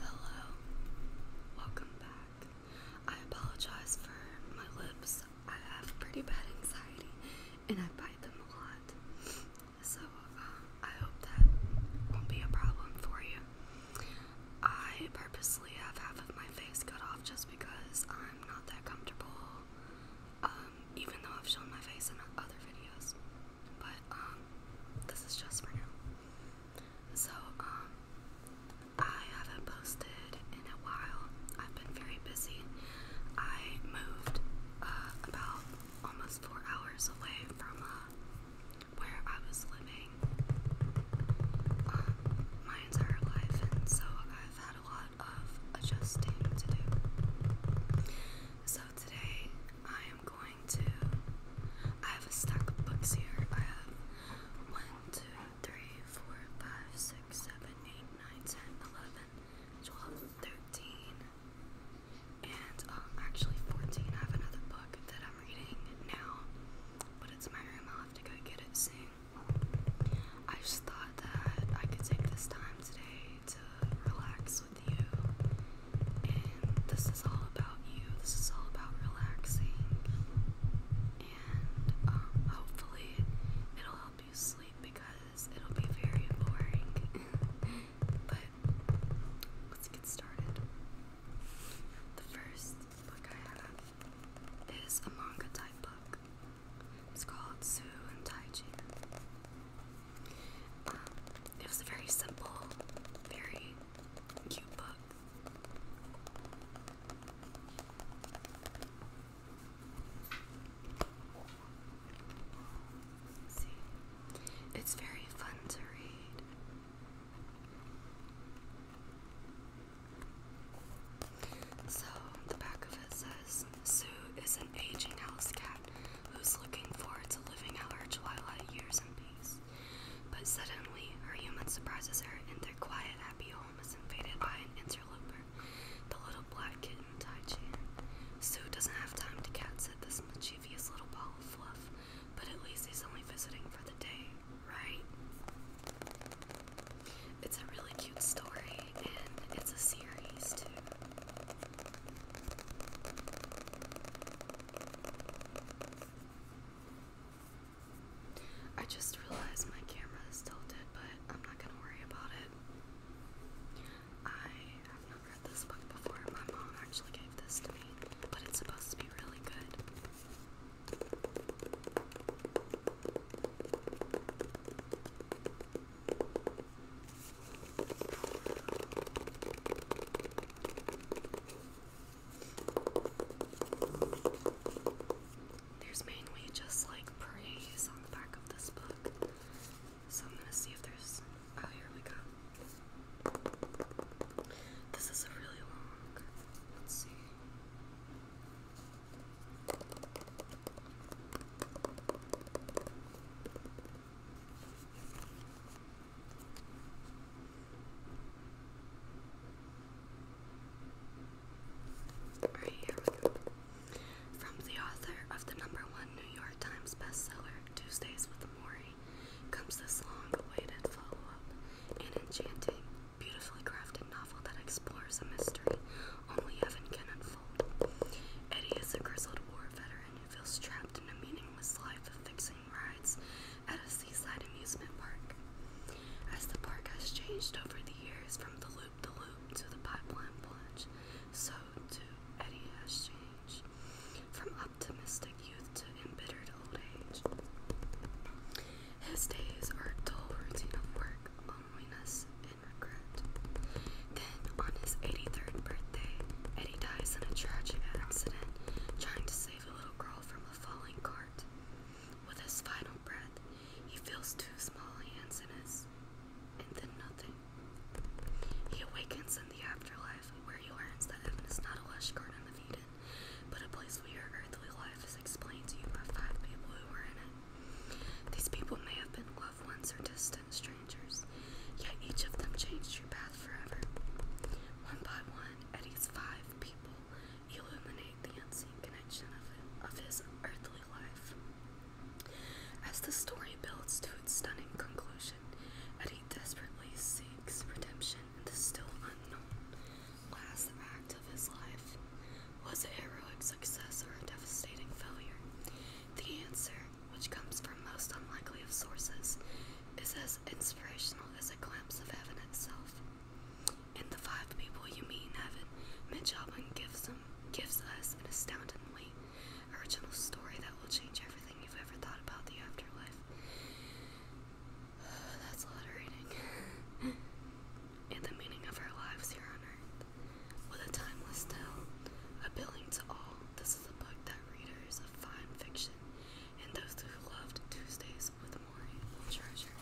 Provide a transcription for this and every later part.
Hello, welcome back. I apologize for my lips. I have pretty bad anxiety and I bite them a lot. So uh, I hope that won't be a problem for you. I purposely have half of my face cut off just because I'm not that comfortable, um, even though I've shown my face in other videos. But um, this is just for now. So, um, I haven't posted in a while. I've been very busy. I moved uh, about almost four hours away from uh, where I was living um, my entire life, and so I've had a lot of adjusting to do. So today I am going trying I have a stack of books here. I have 1, 2, 3, 4, 5, 6, 7, 8, 9, 10, 11, 12, 13, and um, actually 14. I have another book that I'm reading now, but it's in my room. I'll have to go get it soon. I just thought that I could take this time today to relax this is all about you. This is all about relaxing. And um, hopefully, it'll help you sleep because it'll be very boring. but let's get started. The first book I have is a manga type book. It's called Sue and Taiji it was a very simple, very cute book. see, it's very fun to read. So, the back of it says Sue is an aging house cat who's looking forward to living out her twilight years in peace. But suddenly, her human surprises her, and their quiet, happy home is invaded by an interloper, the little black kitten Tai Chan. Sue doesn't have time to catch sit this mischievous little ball of fluff, but at least he's only visiting for the day, right? It's a really cute story, and it's a series too. I just realized my camera is tilted, but I'm not gonna worry about it. I have not read this book before. My mom actually gave this to me, but it's supposed to be really good. There's mainly just like praise on the back of this book. So I'm gonna see if there's. Oh, here we go. This is a really long. Let's see. From the author of the number one New York Times bestseller, Tuesdays with Maury, comes this long awaited follow up, an enchanting, beautifully crafted novel that explores a mystery only heaven can unfold. Eddie is a grizzled war veteran he feels trapped in a meaningless life of fixing rides at a seaside amusement park. As the park has changed over the years from the loop the loop to the pipeline plunge, so too Eddie has changed from optimistic youth to embittered old age. His days are a dull routine of work, loneliness, and regret on his 83rd birthday, Eddie dies in a tragic accident trying to save a little girl from a falling cart. With his final breath, he feels two small hands in his, and then nothing. He awakens in the afterlife, where he learns that heaven is not a lush garden of Eden, but a place where your earthly life is explained to you by five people who were in it. These people may have been loved ones or distant strangers yet each of them changed your path forever. One by one, Eddie's five people illuminate the unseen connection of, his earthly life. As the story builds to its stunning conclusion, Eddie desperately seeks redemption in the still unknown last act of his life. Was it heroic success or a devastating failure? The answer which comes from most unlikely of sources, is as inspirational as a glimpse of heaven itself. In the five people you meet in heaven, Mitch Albin gives, us an astoundingly original story that will change everything you've ever thought about the afterlife. that's a lot of reading. and the meaning of our lives here on earth. With a timeless tale, appealing to all, this is a book that readers of fine fiction and those who loved Tuesdays with Maury will treasure.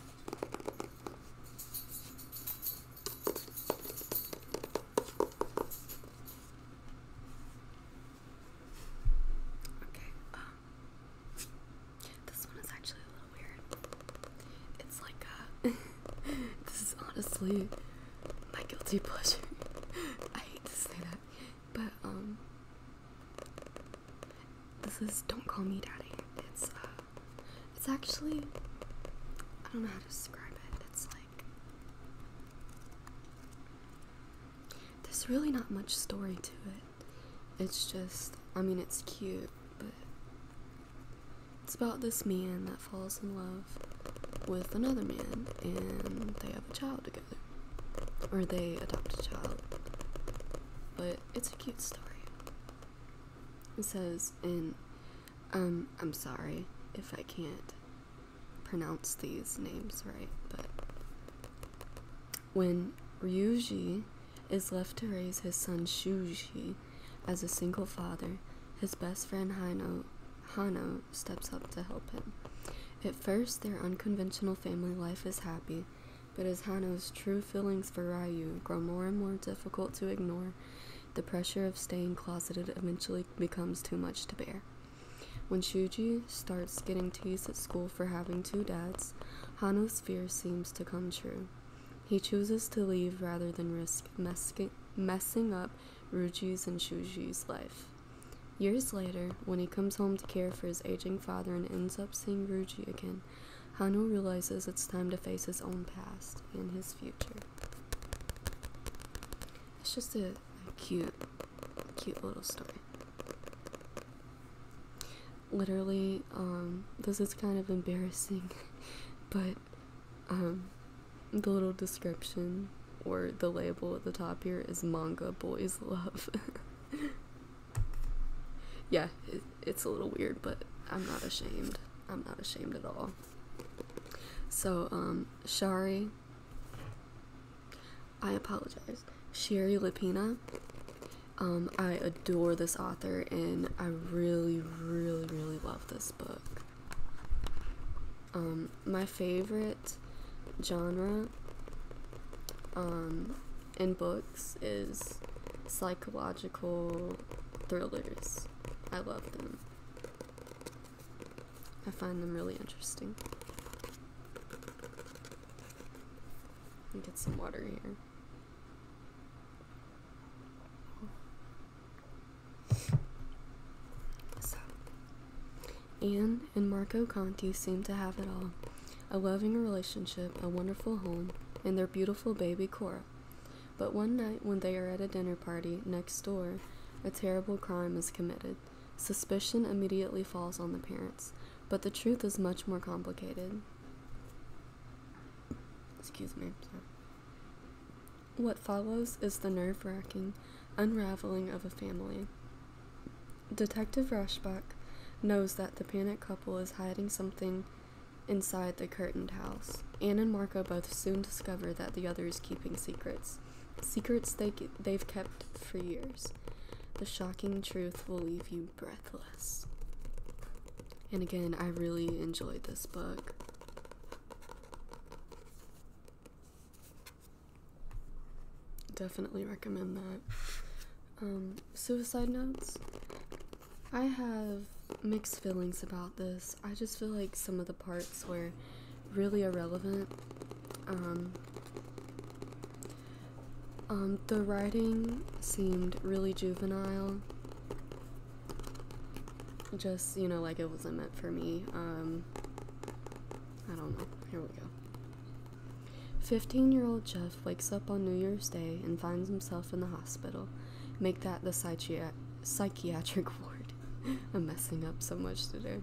Okay, um, this one is actually a little weird. It's like this is honestly my guilty pleasure. I hate to say that, but um, this is "Don't Call Me Daddy." It's uh, it's actually I don't know how to describe it. It's like there's really not much story to it. It's just, I mean, it's cute, but it's about this man that falls in love with another man and they have a child together. Or they adopt a child. But it's a cute story. It says, and um, I'm sorry if I can't pronounce these names right, but when Ryuji is left to raise his son Shuji as a single father, his best friend Hino, Hano steps up to help him. At first, their unconventional family life is happy, but as Hano's true feelings for Ryu grow more and more difficult to ignore, the pressure of staying closeted eventually becomes too much to bear. When Shuji starts getting teased at school for having two dads, Hano's fear seems to come true. He chooses to leave rather than risk messing up Ruju's and Shuji's life. Years later, when he comes home to care for his aging father and ends up seeing Ruji again, Hanu realizes it's time to face his own past and his future. It's just a cute, cute little story. Literally, um, this is kind of embarrassing, but, um, the little description or the label at the top here is manga boys love. yeah, it's a little weird, but I'm not ashamed. I'm not ashamed at all. So, um, Shari, I apologize. Sherry Lapina, um, I adore this author and I really, really, really love this book. Um, my favorite genre um, in books is psychological thrillers. I love them. I find them really interesting. Get some water here. Anne and Marco Conti seem to have it all a loving relationship, a wonderful home, and their beautiful baby Cora. But one night, when they are at a dinner party next door, a terrible crime is committed. Suspicion immediately falls on the parents, but the truth is much more complicated. Excuse me. Sorry. What follows is the nerve wracking unraveling of a family. Detective Rushback knows that the panicked couple is hiding something inside the curtained house. Anne and Marco both soon discover that the other is keeping secrets, secrets they, they've kept for years. The shocking truth will leave you breathless. And again, I really enjoyed this book. Definitely recommend that. Um, suicide notes. I have mixed feelings about this. I just feel like some of the parts were really irrelevant. Um, um, the writing seemed really juvenile. Just, you know, like it wasn't meant for me. Um, I don't know. Here we go. 15 year old Jeff wakes up on New Year's Day and finds himself in the hospital. Make that the psychiatric ward. I'm messing up so much today.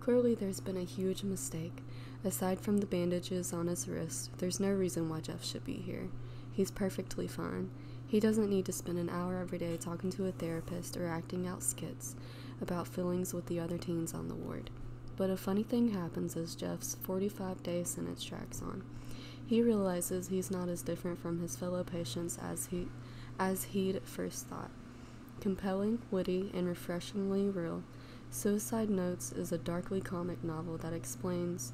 Clearly, there's been a huge mistake. Aside from the bandages on his wrist, there's no reason why Jeff should be here. He's perfectly fine. He doesn't need to spend an hour every day talking to a therapist or acting out skits about feelings with the other teens on the ward. But a funny thing happens as Jeff's 45 day sentence tracks on. He realizes he's not as different from his fellow patients as, he, as he'd first thought. Compelling, witty, and refreshingly real, Suicide Notes is a darkly comic novel that explains,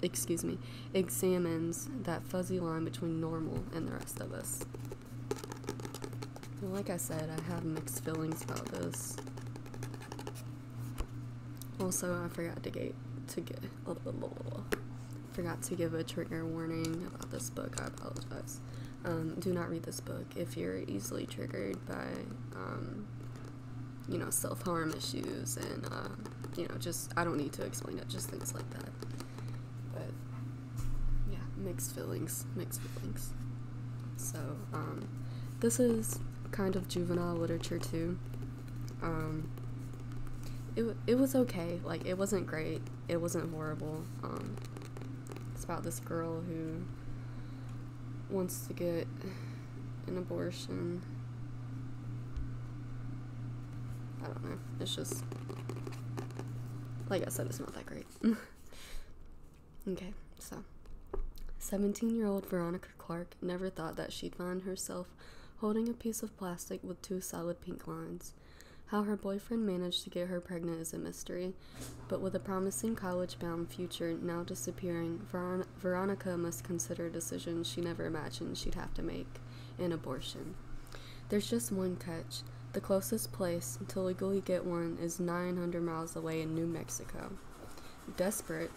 excuse me, examines that fuzzy line between normal and the rest of us like I said, I have mixed feelings about this. Also, I forgot to get to get blah, forgot to give a trigger warning about this book. I apologize. Um, do not read this book if you're easily triggered by, um, you know, self harm issues and, uh, you know, just I don't need to explain it. Just things like that. But yeah, mixed feelings, mixed feelings. So um, this is kind of juvenile literature too. Um, it it was okay. Like it wasn't great. It wasn't horrible. Um, it's about this girl who wants to get an abortion. I don't know. It's just, like I said, it's not that great. okay, so 17 year old Veronica Clark never thought that she'd find herself holding a piece of plastic with two solid pink lines. How her boyfriend managed to get her pregnant is a mystery, but with a promising college bound future now disappearing, Veronica must consider decisions she never imagined she'd have to make an abortion. There's just one catch. The closest place to legally get one is 900 miles away in New Mexico. Desperate,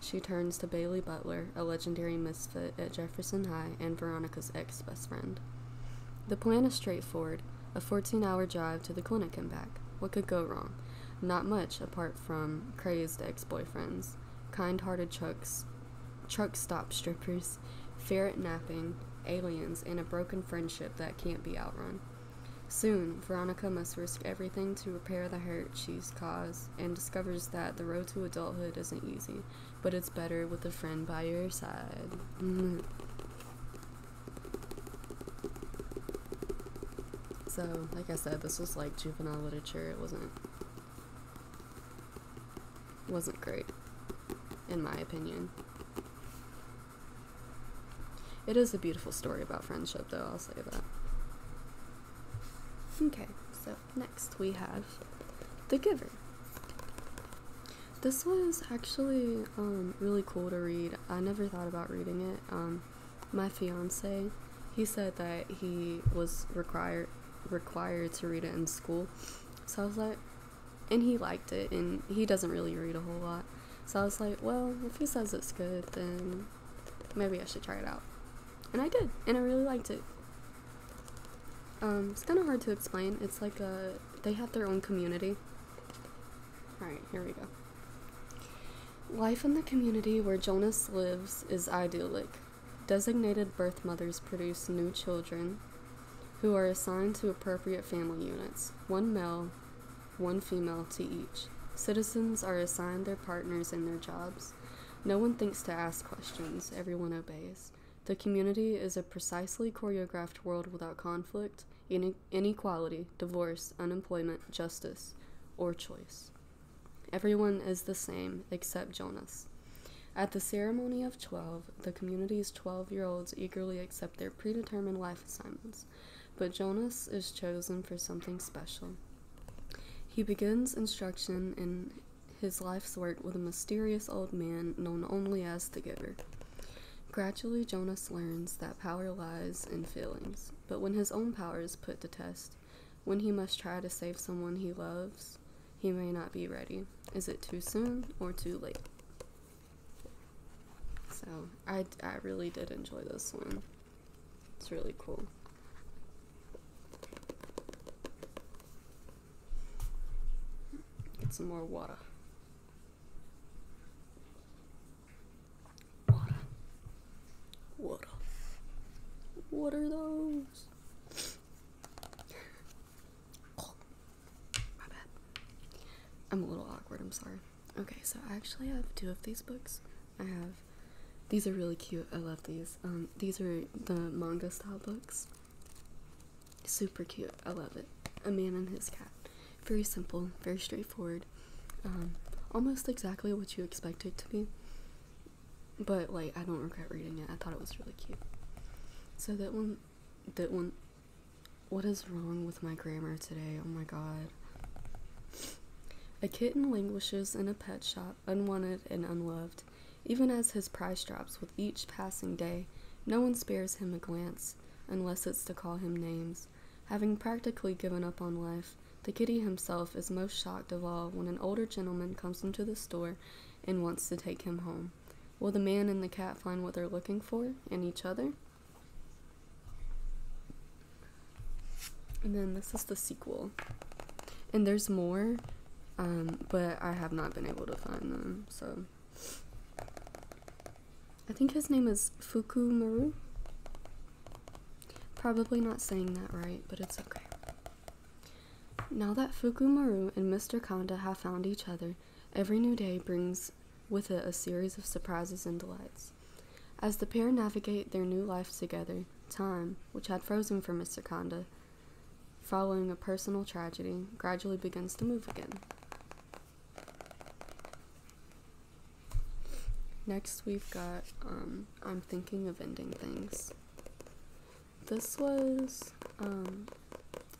she turns to Bailey Butler, a legendary misfit at Jefferson High and Veronica's ex best friend. The plan is straightforward a 14 hour drive to the clinic and back. What could go wrong? Not much apart from crazed ex boyfriends, kind hearted chucks, truck stop strippers, ferret napping, aliens, and a broken friendship that can't be outrun. Soon, Veronica must risk everything to repair the hurt she's caused and discovers that the road to adulthood isn't easy, but it's better with a friend by your side. Mm. so, like I said, this was like juvenile literature. It wasn't wasn't great, in my opinion. It is a beautiful story about friendship, though, I'll say that. Okay, so next we have The Giver. This was actually um, really cool to read. I never thought about reading it. Um, my fiance, he said that he was required required to read it in school, so I was like, and he liked it and he doesn't really read a whole lot so i was like well if he says it's good then maybe i should try it out and i did and i really liked it um, it's kind of hard to explain it's like a they have their own community all right here we go life in the community where jonas lives is idyllic Designated birth mothers produce new children who are assigned to appropriate family units, one male, one female to each. Citizens are assigned their partners and their jobs. No one thinks to ask questions, everyone obeys. The community is a precisely choreographed world without conflict, inequality, divorce, unemployment, justice, or choice. Everyone is the same except Jonas. At the ceremony of 12, the community's 12 year olds eagerly accept their predetermined life assignments, but Jonas is chosen for something special. He begins instruction in his life's work with a mysterious old man known only as the Giver. Gradually, Jonas learns that power lies in feelings, but when his own power is put to test, when he must try to save someone he loves, he may not be ready. Is it too soon or too late? So I, I really did enjoy this one. It's really cool. Get some more water. Water. Water. What are those? my bad. I'm a little awkward, I'm sorry. Okay, so I actually have two of these books. I have these are really cute. I love these. Um, these are the manga style books. Super cute. I love it. A man and his cat. Very simple, very straightforward. Um, almost exactly what you expect it to be but like I don't regret reading it. I thought it was really cute. So that one, that one. What is wrong with my grammar today? Oh my god. A kitten languishes in a pet shop, unwanted and unloved. Even as his price drops with each passing day, no one spares him a glance, unless it's to call him names. Having practically given up on life, the kitty himself is most shocked of all when an older gentleman comes into the store and wants to take him home. Will the man and the cat find what they're looking for in each other? And then this is the sequel. And there's more, um, but I have not been able to find them, so. I think his name is Fukumaru. Probably not saying that right, but it's okay. Now that Fukumaru and Mr. Kanda have found each other, every new day brings with it a series of surprises and delights. As the pair navigate their new life together, time, which had frozen for Mr. Kanda, following a personal tragedy, gradually begins to move again. Next, we've got um, I'm Thinking of Ending Things this was um,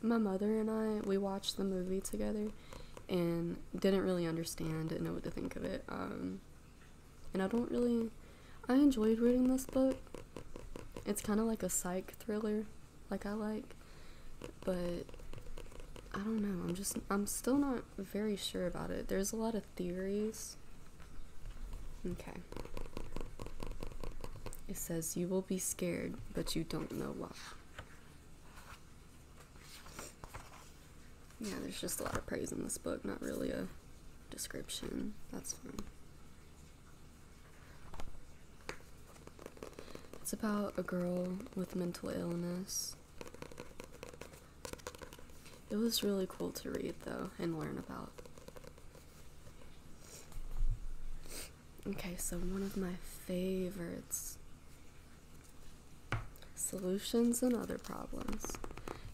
my mother and I, we watched the movie together and didn't really understand, didn't know what to think of it. Um, and I don't really, I enjoyed reading this book. It's kind of like a psych thriller, like I like, but I don't know. I'm just, I'm still not very sure about it. There's a lot of theories. Okay. It says, You will be scared, but you don't know why. Yeah, there's just a lot of praise in this book, not really a description. That's fine. It's about a girl with mental illness. It was really cool to read, though, and learn about. Okay, so one of my favorites solutions and other problems.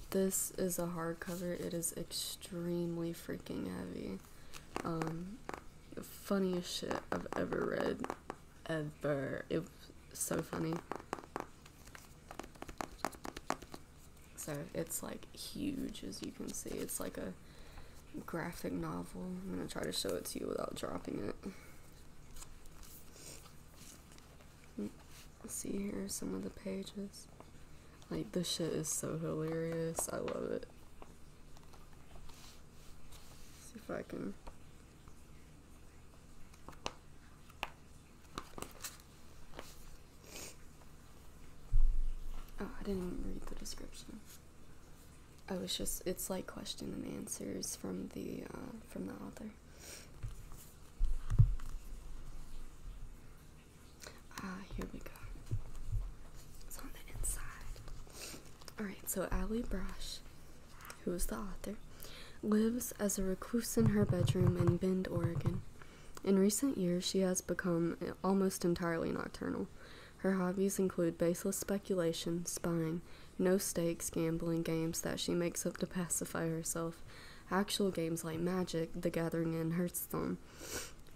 This is a hardcover, it is extremely freaking heavy. Um, funniest shit I've ever read, ever. It was so funny. So it's like huge, as you can see. It's like a graphic novel. I'm going to try to show it to you without dropping it. Let's see here some of the pages. Like, this shit is so hilarious. I love it. Let's see if I can. Oh, I didn't even read the description. Oh, I was just it's like question and answers from the uh, from the author. Ah, here we go. It's on the inside. Alright, so Ali Brash, who is the author, lives as a recluse in her bedroom in Bend, Oregon. In recent years, she has become almost entirely nocturnal. Her hobbies include baseless speculation, spying, no stakes gambling games that she makes up to pacify herself, actual games like Magic, The Gathering, and Hearthstone.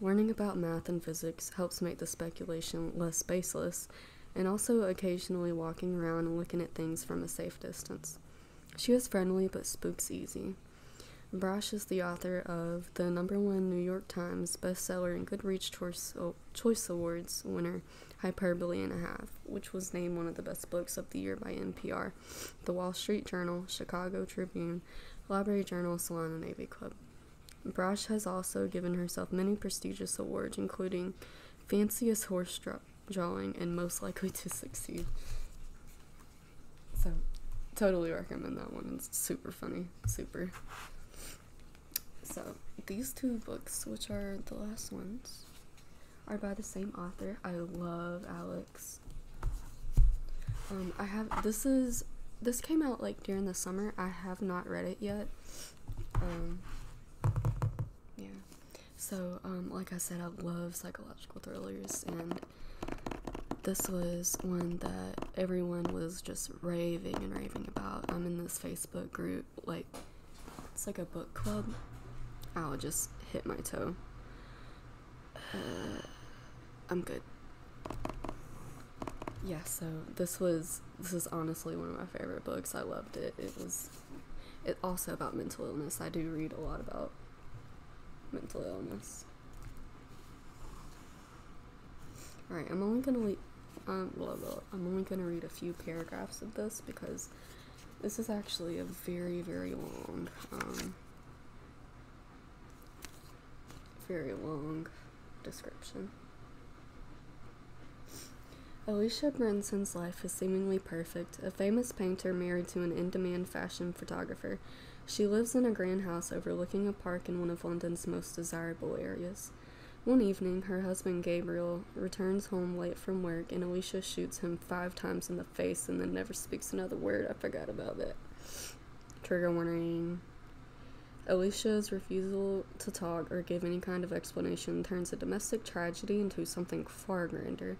Learning about math and physics helps make the speculation less baseless, and also occasionally walking around and looking at things from a safe distance. She is friendly but spooks easy. Brash is the author of the number one New York Times bestseller and Goodreads Choice, oh, Choice Awards winner, Hyperbole and a Half, which was named one of the best books of the year by NPR, The Wall Street Journal, Chicago Tribune, Library Journal, Salon, and AV Club. Brash has also given herself many prestigious awards, including Fanciest Horse Drawing and Most Likely to Succeed. So, totally recommend that one. It's super funny. Super. So, these two books, which are the last ones, are by the same author. I love Alex. Um, I have this is this came out like during the summer. I have not read it yet. Um, yeah. So, um, like I said, I love psychological thrillers, and this was one that everyone was just raving and raving about. I'm in this Facebook group, like, it's like a book club. I'll just hit my toe. I'm good. Yeah, so this was this is honestly one of my favorite books. I loved it. It was it also about mental illness. I do read a lot about mental illness. Alright, I'm only gonna leave, um, I'm only gonna read a few paragraphs of this because this is actually a very, very long, um, very long description. Alicia Brinson's life is seemingly perfect. A famous painter married to an in demand fashion photographer. She lives in a grand house overlooking a park in one of London's most desirable areas. One evening, her husband Gabriel returns home late from work and Alicia shoots him five times in the face and then never speaks another word. I forgot about that. Trigger warning. Alicia's refusal to talk or give any kind of explanation turns a domestic tragedy into something far grander,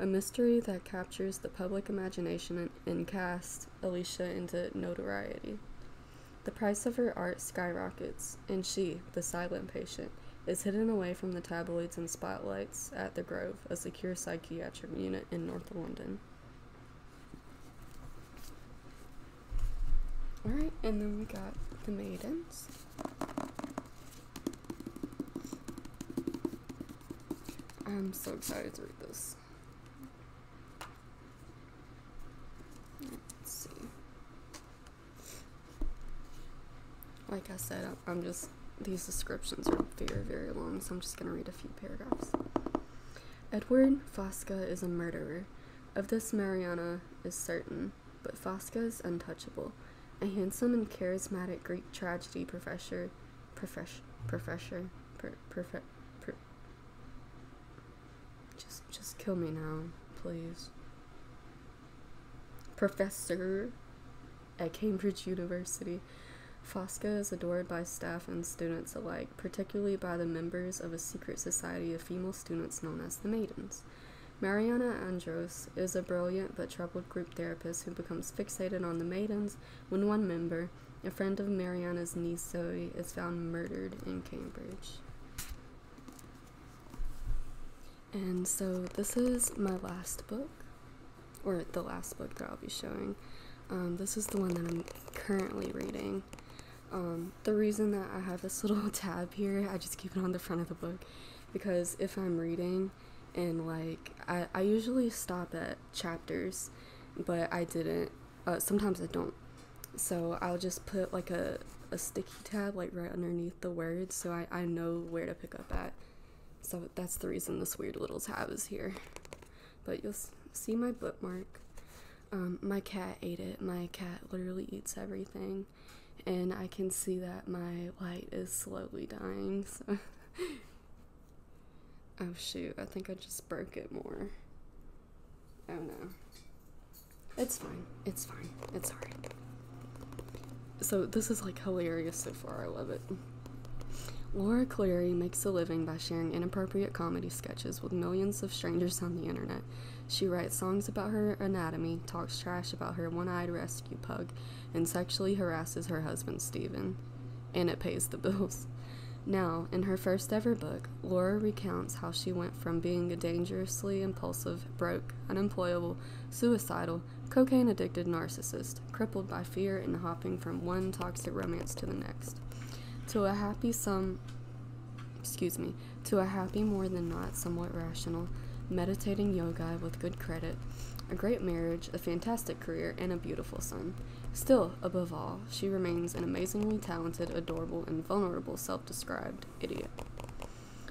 a mystery that captures the public imagination and and cast Alicia into notoriety. The price of her art skyrockets, and she, the silent patient, is hidden away from the tabloids and spotlights at The Grove, a secure psychiatric unit in North London. Alright, and then we got the maidens. I'm so excited to read this. Like I said, I'm just, these descriptions are very, very long, so I'm just going to read a few paragraphs. Edward Fosca is a murderer. Of this, Mariana is certain, but Fosca is untouchable. A handsome and charismatic Greek tragedy professor, professor, perfect. just, just kill me now, please. Professor at Cambridge University. Fosca is adored by staff and students alike, particularly by the members of a secret society of female students known as the Maidens. Mariana Andros is a brilliant but troubled group therapist who becomes fixated on the Maidens when one member, a friend of Mariana's niece Zoe is found murdered in Cambridge. And so this is my last book, or the last book that I'll be showing. Um, this is the one that I'm currently reading. Um, the reason that I have this little tab here, I just keep it on the front of the book because if I'm reading and like I, I usually stop at chapters, but I didn't. Uh, sometimes I don't. So I'll just put like a, a sticky tab like right underneath the words so I, I know where to pick up at. So that's the reason this weird little tab is here. But you'll see my bookmark. Um, my cat ate it. My cat literally eats everything. And I can see that my light is slowly dying. So Oh shoot, I think I just broke it more. Oh no. It's fine. It's fine. It's alright. So this is like hilarious so far. I love it. Laura Clary makes a living by sharing inappropriate comedy sketches with millions of strangers on the internet. She writes songs about her anatomy, talks trash about her one eyed rescue pug, and sexually harasses her husband, Steven and it pays the bills. Now, in her first ever book, Laura recounts how she went from being a dangerously impulsive, broke, unemployable, suicidal, cocaine addicted narcissist, crippled by fear and hopping from one toxic romance to the next, to a happy, some, excuse me, to a happy, more than not, somewhat rational, meditating yogi with good credit, a great marriage, a fantastic career, and a beautiful son. Still, above all, she remains an amazingly talented, adorable, and vulnerable self described idiot.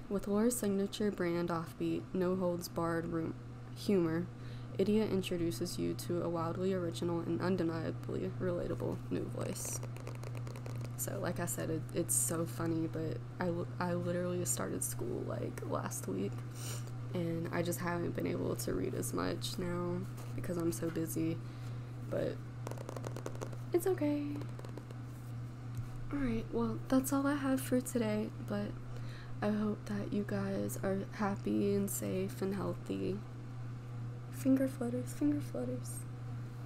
With Laura's signature brand offbeat, no holds barred room- humor, Idiot introduces you to a wildly original and undeniably relatable new voice. So, like I said, it's so funny, but I, I literally started school like last week and I just haven't been able to read as much now because I'm so busy, but it's okay. Alright, well, that's all I have for today, but I hope that you guys are happy and safe and healthy. Finger flutters, finger flutters.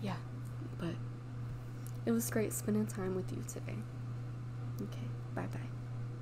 Yeah, but it was great spending time with you today. Okay, bye bye.